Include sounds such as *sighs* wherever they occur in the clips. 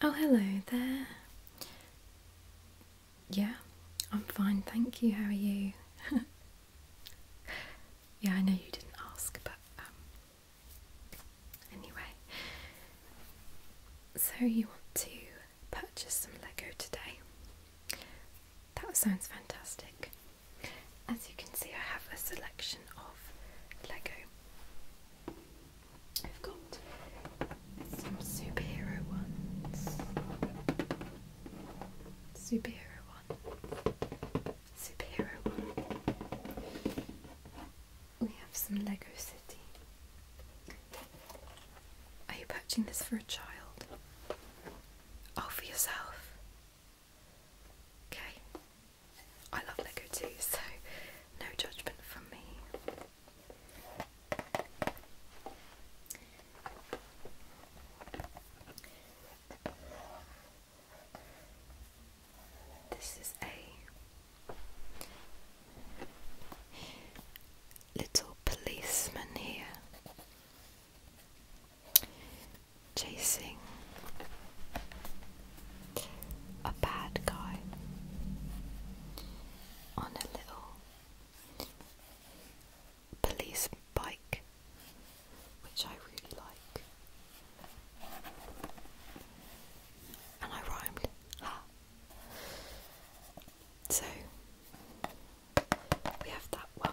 Oh, hello there. Yeah, I'm fine, thank you. How are you? *laughs* yeah, I know you didn't ask, but um, anyway. So, you want to purchase some Lego today? That sounds fantastic. As you can see, I have a selection of Lego. I've got some superhero ones. Superhero one. Superhero one. We have some Lego City. Are you purchasing this for a child? Oh, for yourself? Okay. I love Lego too, so no judgment from me. This is a little policeman here chasing a bad guy on a little police bike, which I really like. And I rhymed. Ha. So we have that one.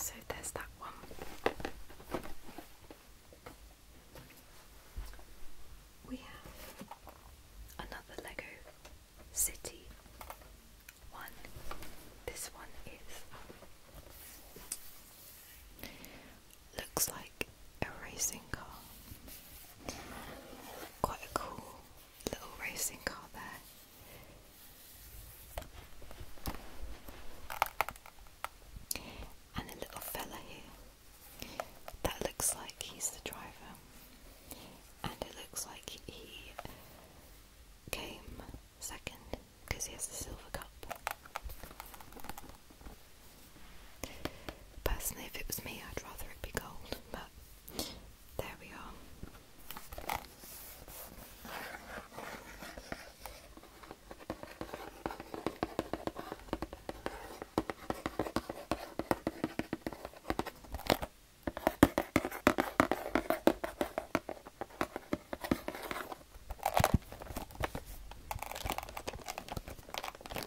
So there's that one. We have another Lego City one. This one is. Um, looks like a racing car. Quite a cool little racing car there. And a little fella here. That looks like he's the driver. And it looks like he came second because he has the silver cup. Personally, if it was me, I'd rather it be gold, but there we are.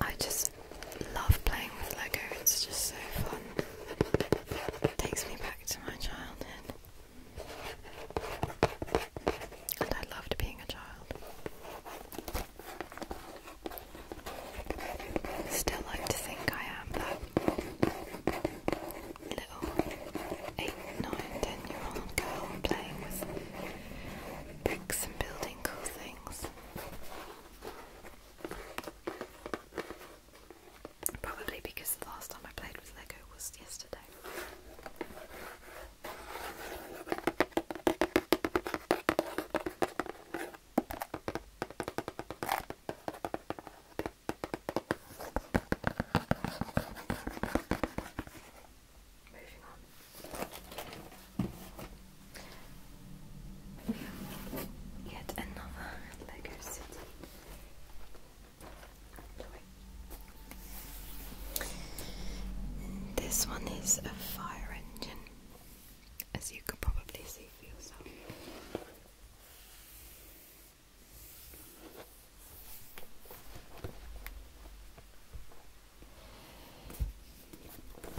I just love playing with Lego, it's just so fun. takes me back to my childhood. And I loved being a child. Still like to think I am that little eight, nine, ten year old girl playing with bricks and building cool things. Probably because the last time I played with Lego was yesterday. Moving We have yet another Lego City. This one is a fire engine, as you could probably see for yourself.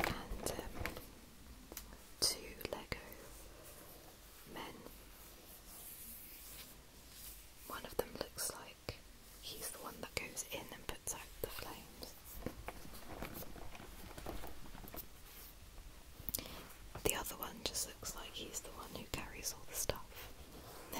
Um, two Lego men. One of them looks like he's the one that goes in and puts out the flames. The other one just looks like he's the one who carries all the stuff. *laughs*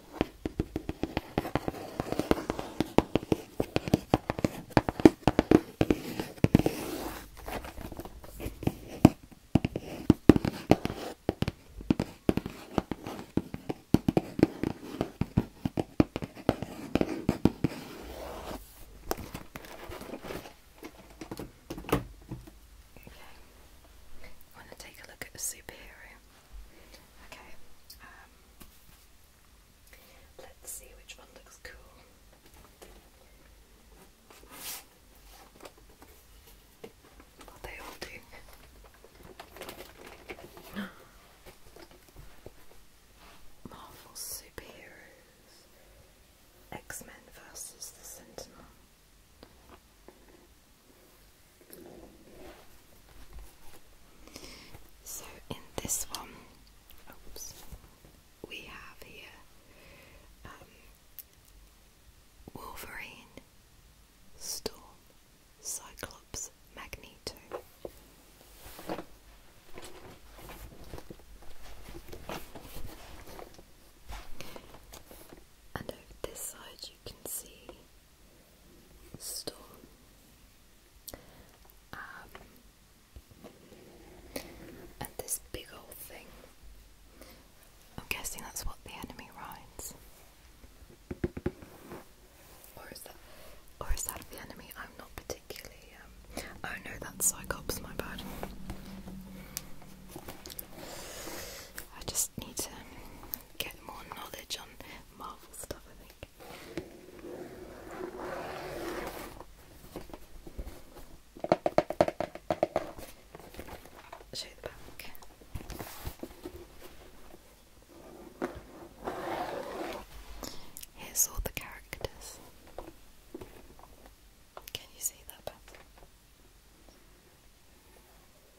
I want to take a look at a superhero. Okay, um, Let's see which one looks cool. Well, they all do. *gasps* Marvel superheroes. X Men versus the Sentinel. So in this one, we have here um, Wolverine, Storm, Cyclops, Magneto. And over this side, you can see store. Um, and this big old thing. I'm guessing that's what the enemy rides. Or is that or is that the enemy? I'm not particularly um, oh no that's Cyclops, my bad. I just need to get more knowledge on Marvel stuff I think. Show the back. Here's all the characters. Can you see that better?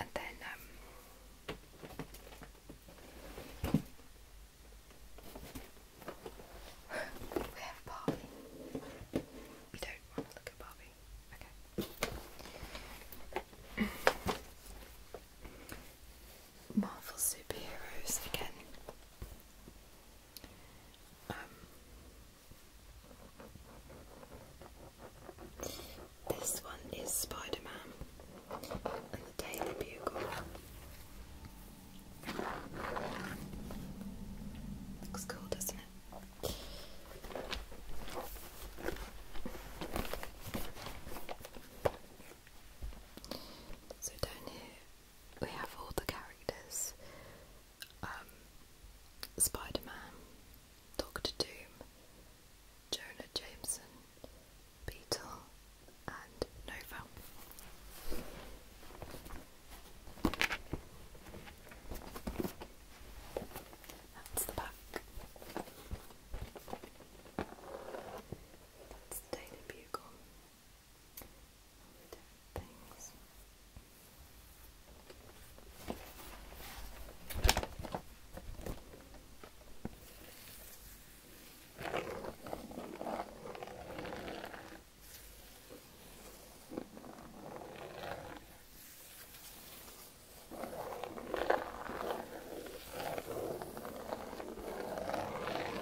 And then um, we have Barbie. You don't want to look at Barbie. Okay. Marvel superheroes again. Um, this one is Spider and the Daily Bugle. Looks cool, doesn't it? So down here we have all the characters. Um, Spider-Man, Doctor Doom, Jonah Jameson, Beetle and Nova. That's the back. That's the Daily Bugle. different things.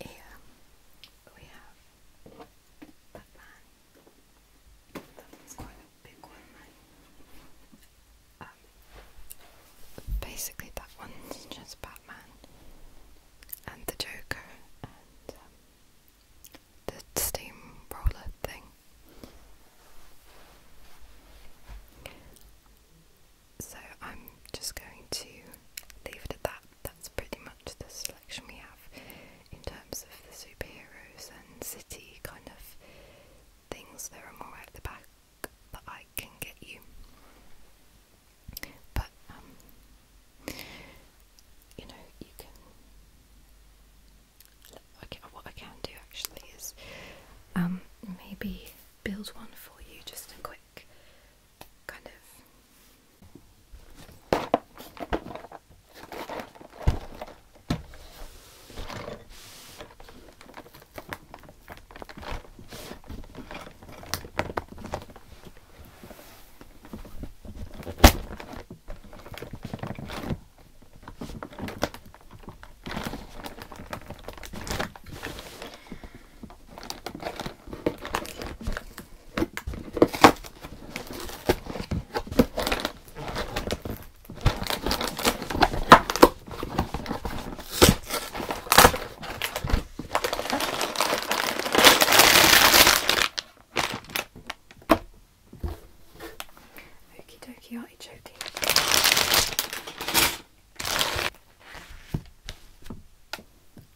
yeah, we have the That's quite a big one, um, basically, that one's just Batman and the Joker and um, the steamroller thing. So I'm just going to leave it at that. That's pretty much the selection we have in terms of the superheroes and city kind of things. There are more at the back that I can get you. But, um, you know, you can. Okay, what I can do actually is um, maybe build one for you, just a quick kind of Okie dokie artichoke.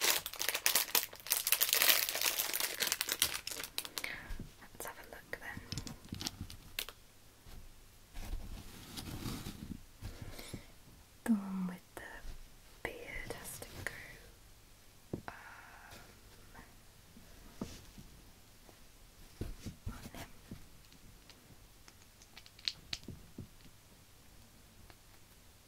Let's have a look then. The one with the beard has to go um, on him.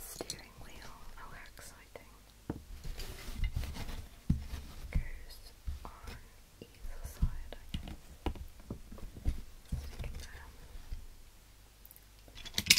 Steering wheel. Oh, exciting. Goes on either side, I guess. Stick it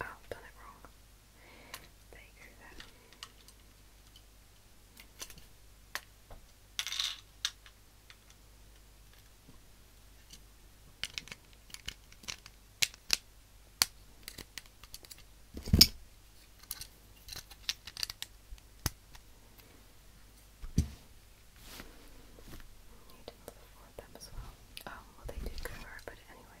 Oh, done it wrong. There you go there. I didn't them as well. Oh, well, they did convert, but anyway,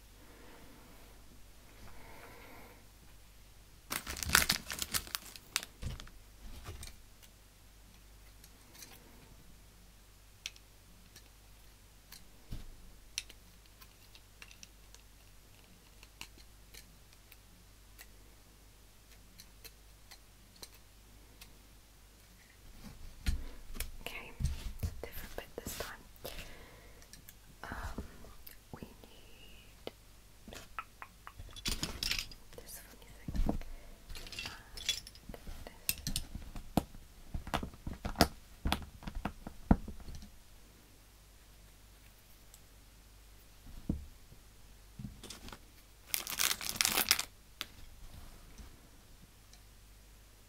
Okay, different bit this time. Um, we need this funny thing. And this. Okay.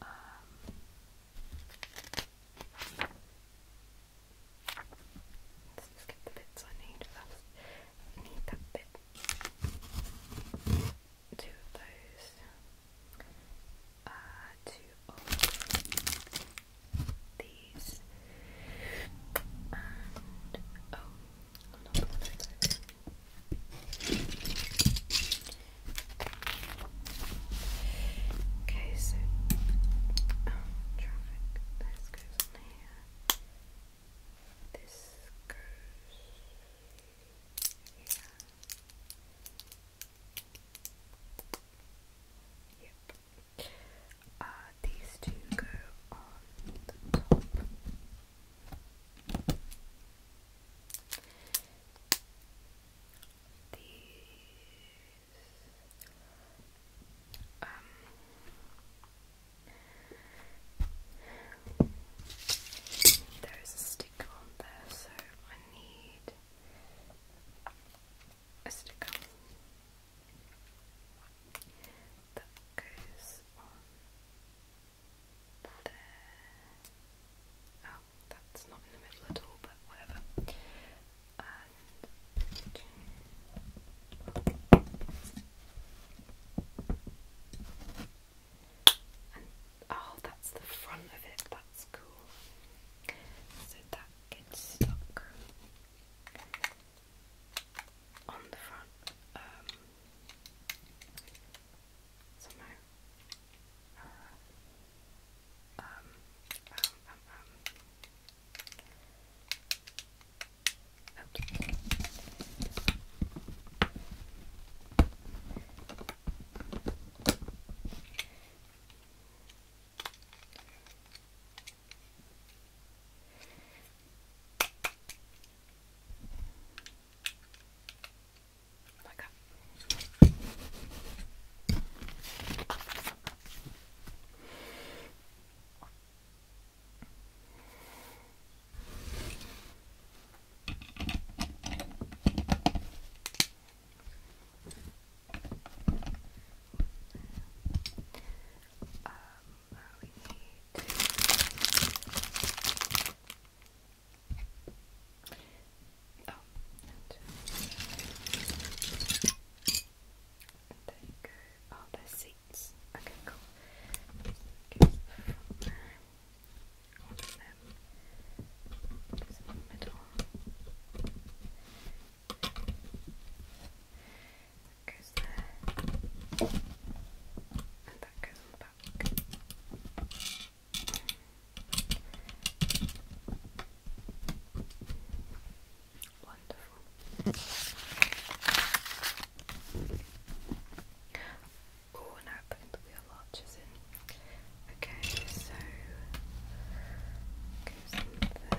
Um, let's just get the bits I need first. need that bit. Two of those. Uh, two of these. Oh, Okay, so um, traffic. This goes on here. This goes here. Yep. Uh, these two go on the top these um there is a sticker on there, so I need a sticker that goes on Oh, that's not in the middle at all, but whatever. And, oh, that's the front of it. That's cool. So that gets stuck on the front. Um, somehow. Uh, um, um, um, um. Okay like that. Um, we need to Oh, and there you go. Oh, there's seats. Okay, cool. Get um, from goes there. And that goes on the back. Wonderful. Oh, now putting the wheel arches in. Okay, so goes in That goes on there.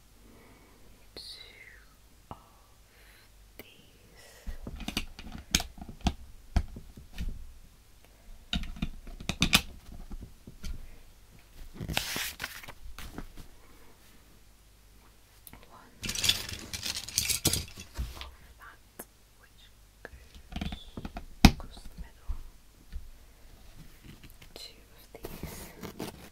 two of these. One of that which goes across the middle. Two of these.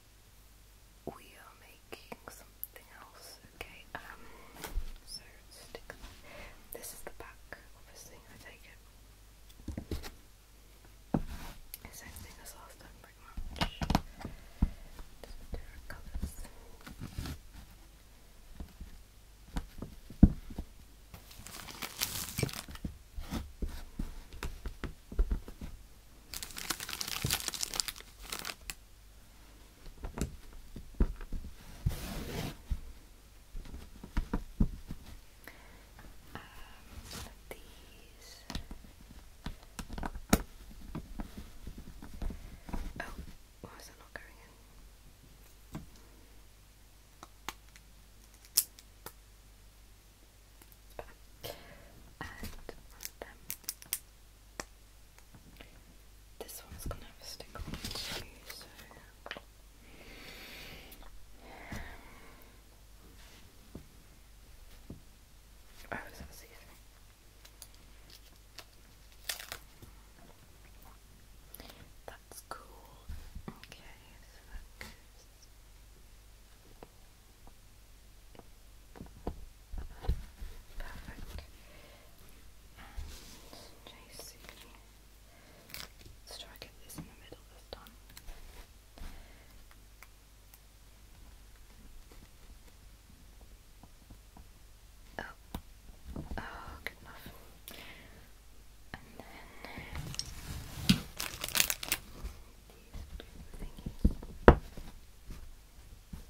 we are making something else. Okay, um, so stick This is the back, obviously, I take it. Same thing as last time, different colours. Um, these. Oh, why is that oh, not going in? And um, this one's gonna have a sticker on it so oh, That's cool. Okay, Perfect. And JC. Let's try to get this in the middle this time. Oh, oh, good enough. And then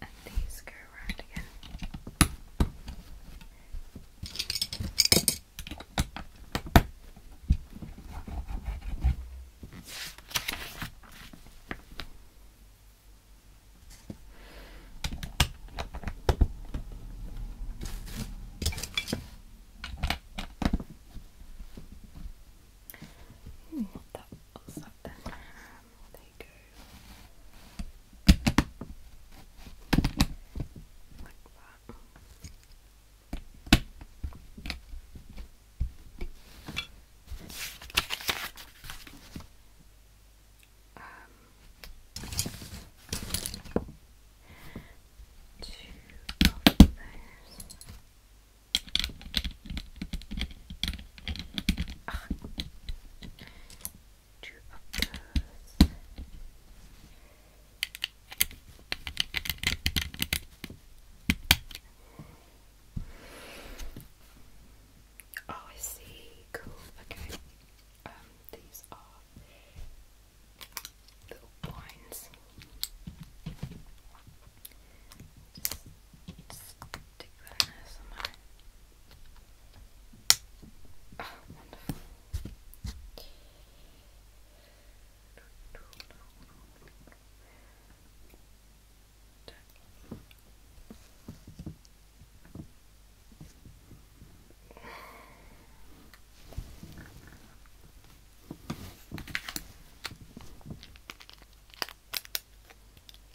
And these go around again. Ooh, that looks that they go like that. Um, two of those. Ah. Oh, I see. Cool. Okay. Um, these are little wines. Stick that in there somewhere. Oh, wonderful.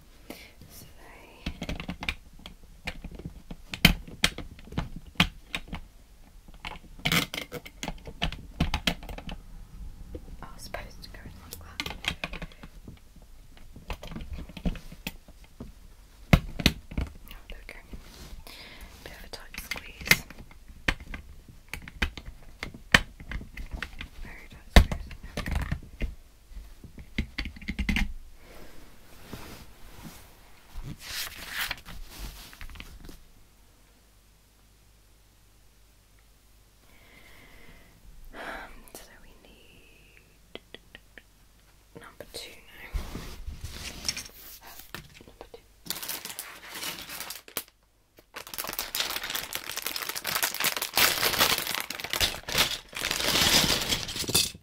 I was supposed to go in like that. Oh, Bit of a tight squeeze. Very tight squeeze. So we need number two now. Number two.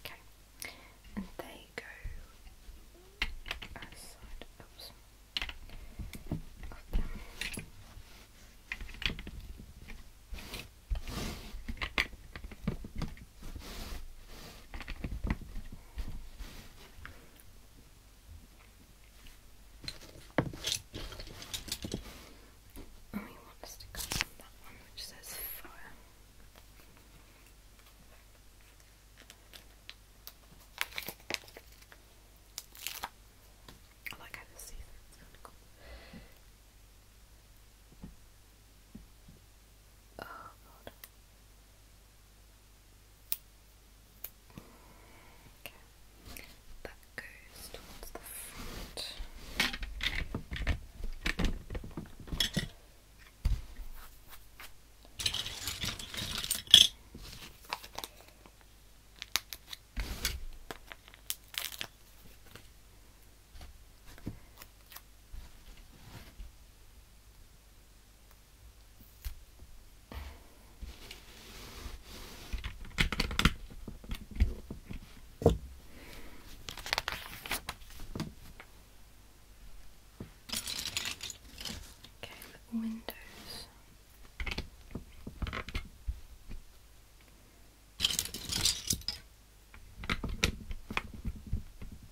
Okay, and they go outside. Oops. Okay. And we want to stick that one which says fire. I kind of cool. Oh god. Okay. That goes towards the front. Okay, the windows.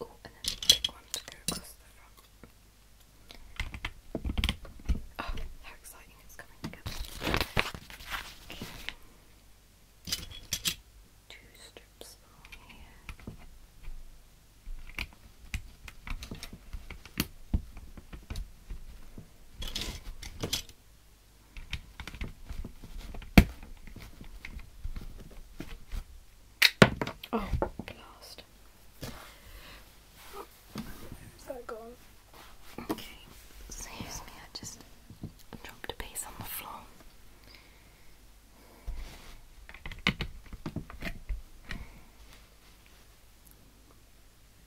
Oh, and then the big ones go across the front. Oh, how exciting it's coming Two strips here. Oh, blast. Where's that gone? Okay, excuse me, I just dropped a piece on the floor.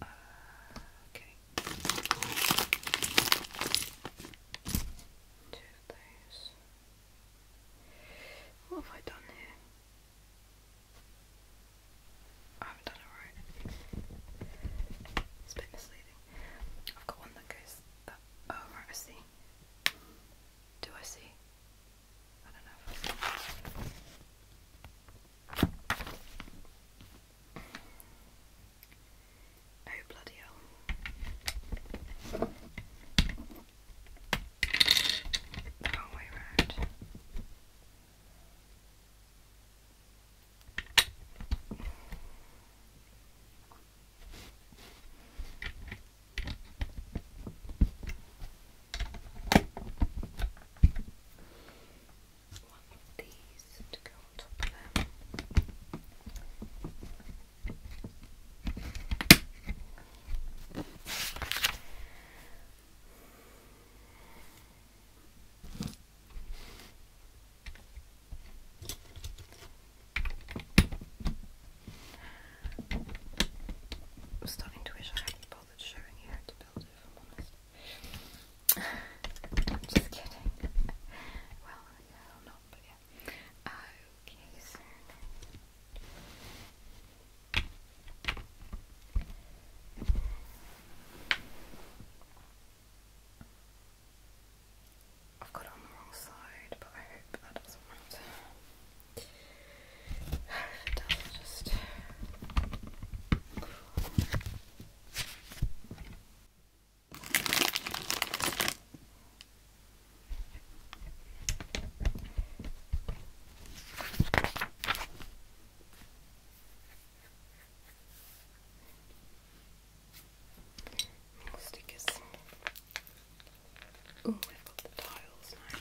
Uh, okay. Two of those. What have I done here? I haven't done it right. It's a bit misleading. I've got one that goes that. Oh, right, I see. Do I see? I do Oh, bloody hell. The wrong way round. One of these to go on top of them. I'm starting to wish I hadn't bought I'm *sighs* I'm just kidding. *laughs* well, yeah, I'm not, but yeah. Okay, so. I've got it on the wrong side, but I hope that doesn't matter just stickers. Oh, I've got the tiles now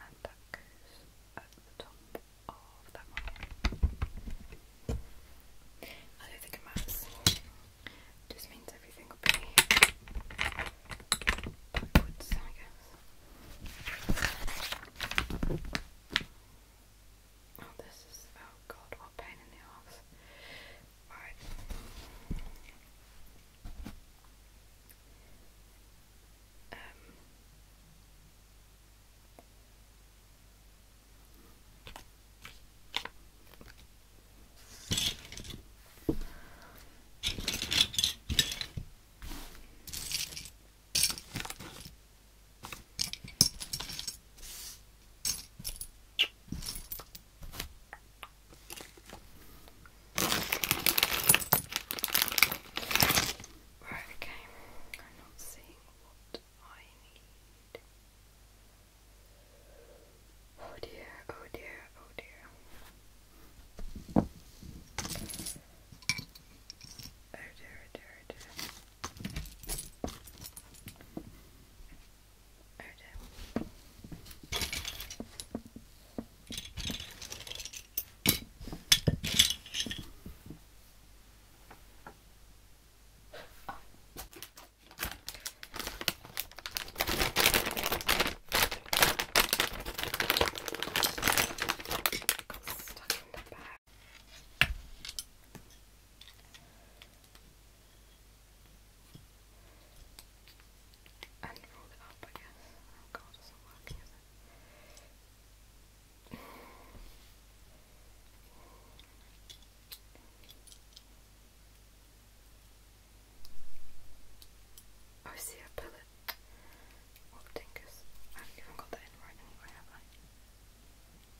and that I don't think it matters. just means everything will be backwards, I guess. Oh, this is. Oh god, what pain in the arse. Alright. Um. Right, okay. I'm not seeing what I need. oh dear, oh dear. Oh dear, oh dear, oh dear. Oh Stuck in the bag. And roll it up, I guess. Oh god, it's not working, is it? see, I pull What a haven't even got that in right anyway, have I?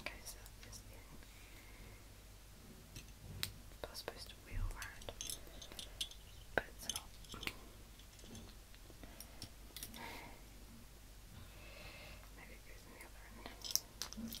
Okay, so this thing was supposed to wheel around, but it's not. Maybe it goes in the other end.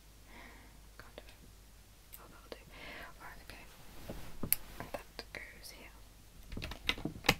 Oh, Alright, okay. that goes here. Okay.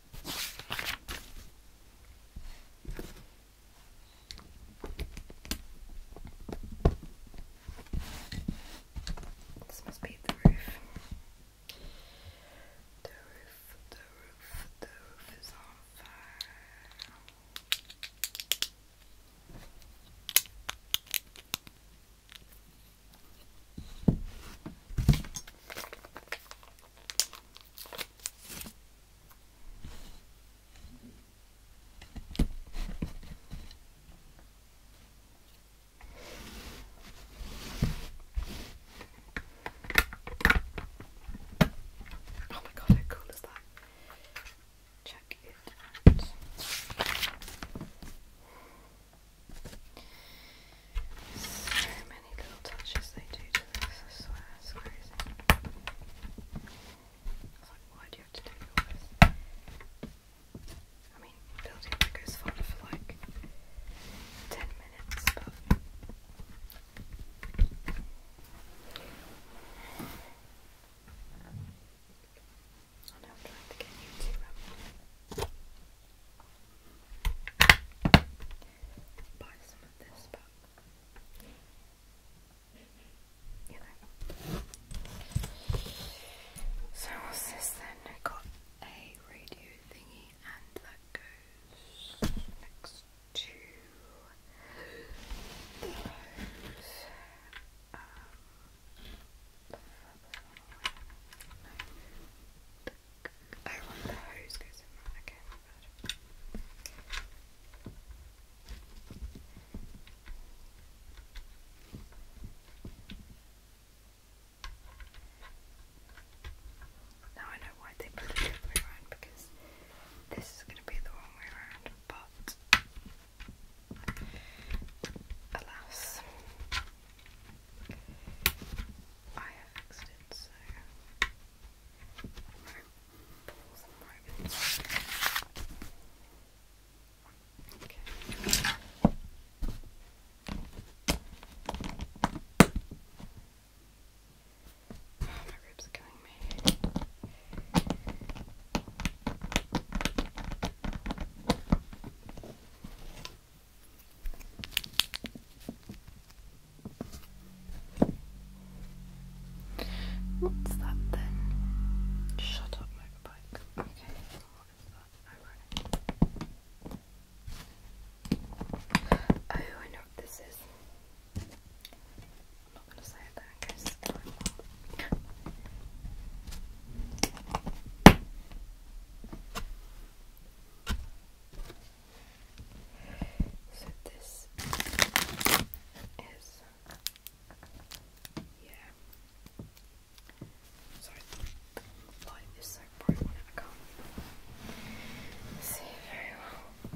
This must be the roof. The roof, the roof, the roof is on fire. Oh my god, how cool is that? Check it out. So many little touches they do to this, I swear, it's crazy. like, why do you have to do this? I mean, building Legos fun for like 10 minutes, I know i trying to get you to um, buy You So what's this then? I got a radio thingy and that goes next to those. Now I know why they put the other around because this is going to be the wrong way around, but alas. I have fixed it, so balls and ribbons. Okay. my ribs are killing me. What's that then? Shut up, motorbike. Okay, what is that? Oh, I know what this is. not going to say it there so this is yeah. Sorry, light is so bright on it, I can see very well.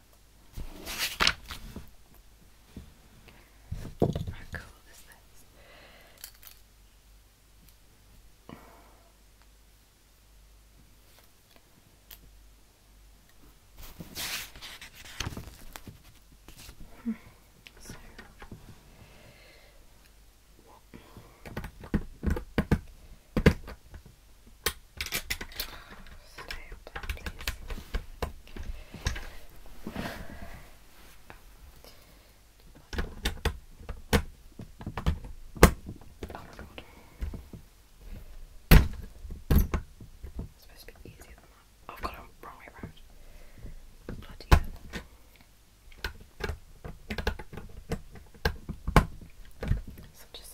How cool is this? stay up there, please. Oh my god. supposed to be easier than that. I've got it wrong way around. Bloody hell. So just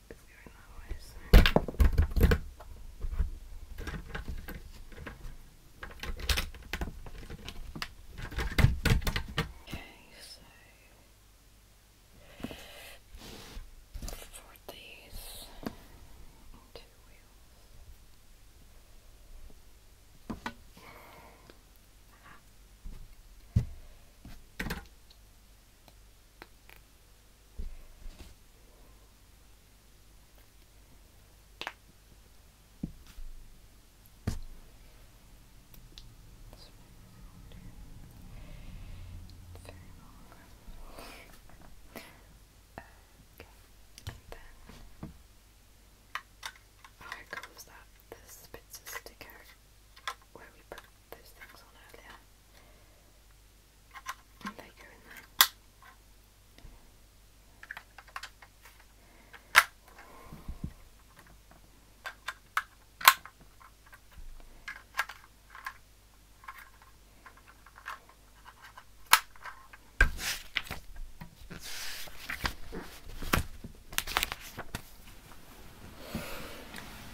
It's going Okay, so. For these two wheels then how oh, comes that this bits of sticker where we put those things on earlier and they there.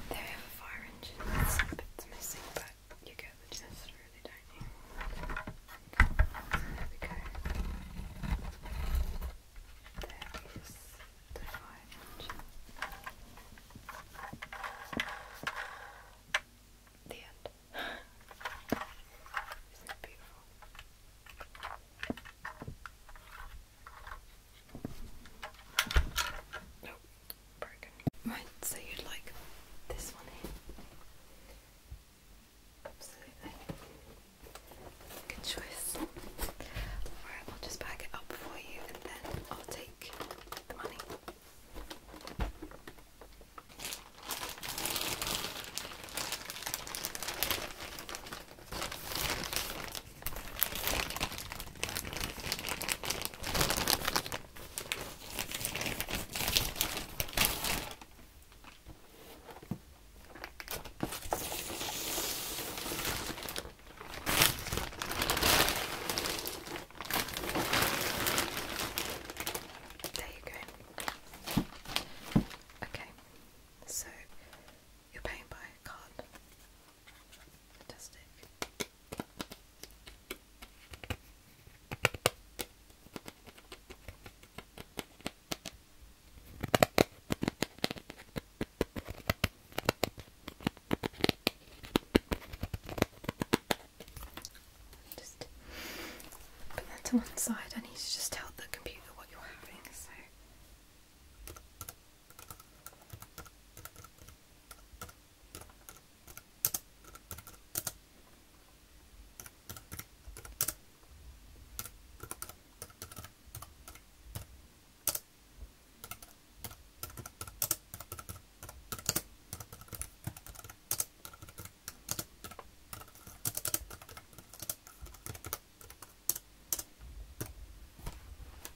They have a fire missing, but you get the gist really, don't you? So there we go. There is the fire engine. The *laughs* end. Isn't it beautiful? Nope broken. Right, so you'd like this one here. Absolutely. Good choice. Alright, I'll just bag it up for you and then I'll take the money. There you go. Okay, so you're paying by card. Fantastic. Just put that to one side. I need to just tell the computer what you're having. So.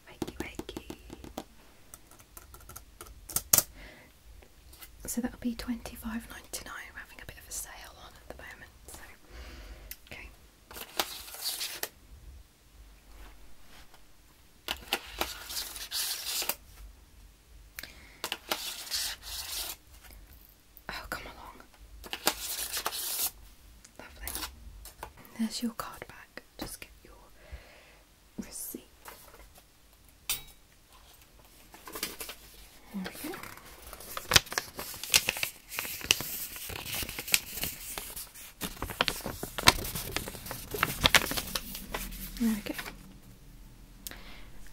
Wakey wakey. So that'll be twenty five ninety nine. We're having a bit of a sale on at the moment. So okay. Oh, come along. Lovely. There's your card back. Just get your receipt. There we go. There we go.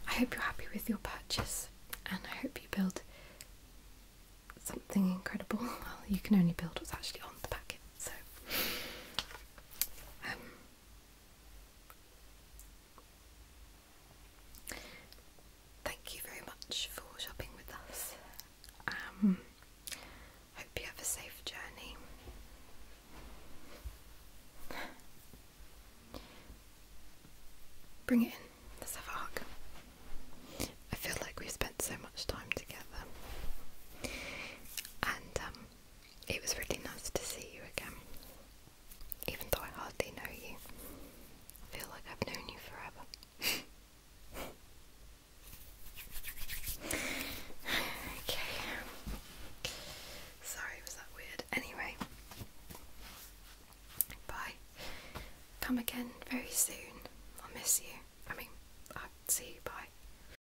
I hope you're happy with your purchase and I hope you build something incredible. *laughs* Well, you can only build what's actually on the packet, so. Um, Thank you very much for shopping with us. Um, hope you have a safe journey. Bring it in. let I feel like we've spent so much time together. And um, it was really nice to see you again. Even though I hardly know you, I feel like I've known you forever. *laughs* okay. Sorry, was that weird? Anyway, bye. Come again very soon. I'll miss you. I mean, I'll see you. Bye.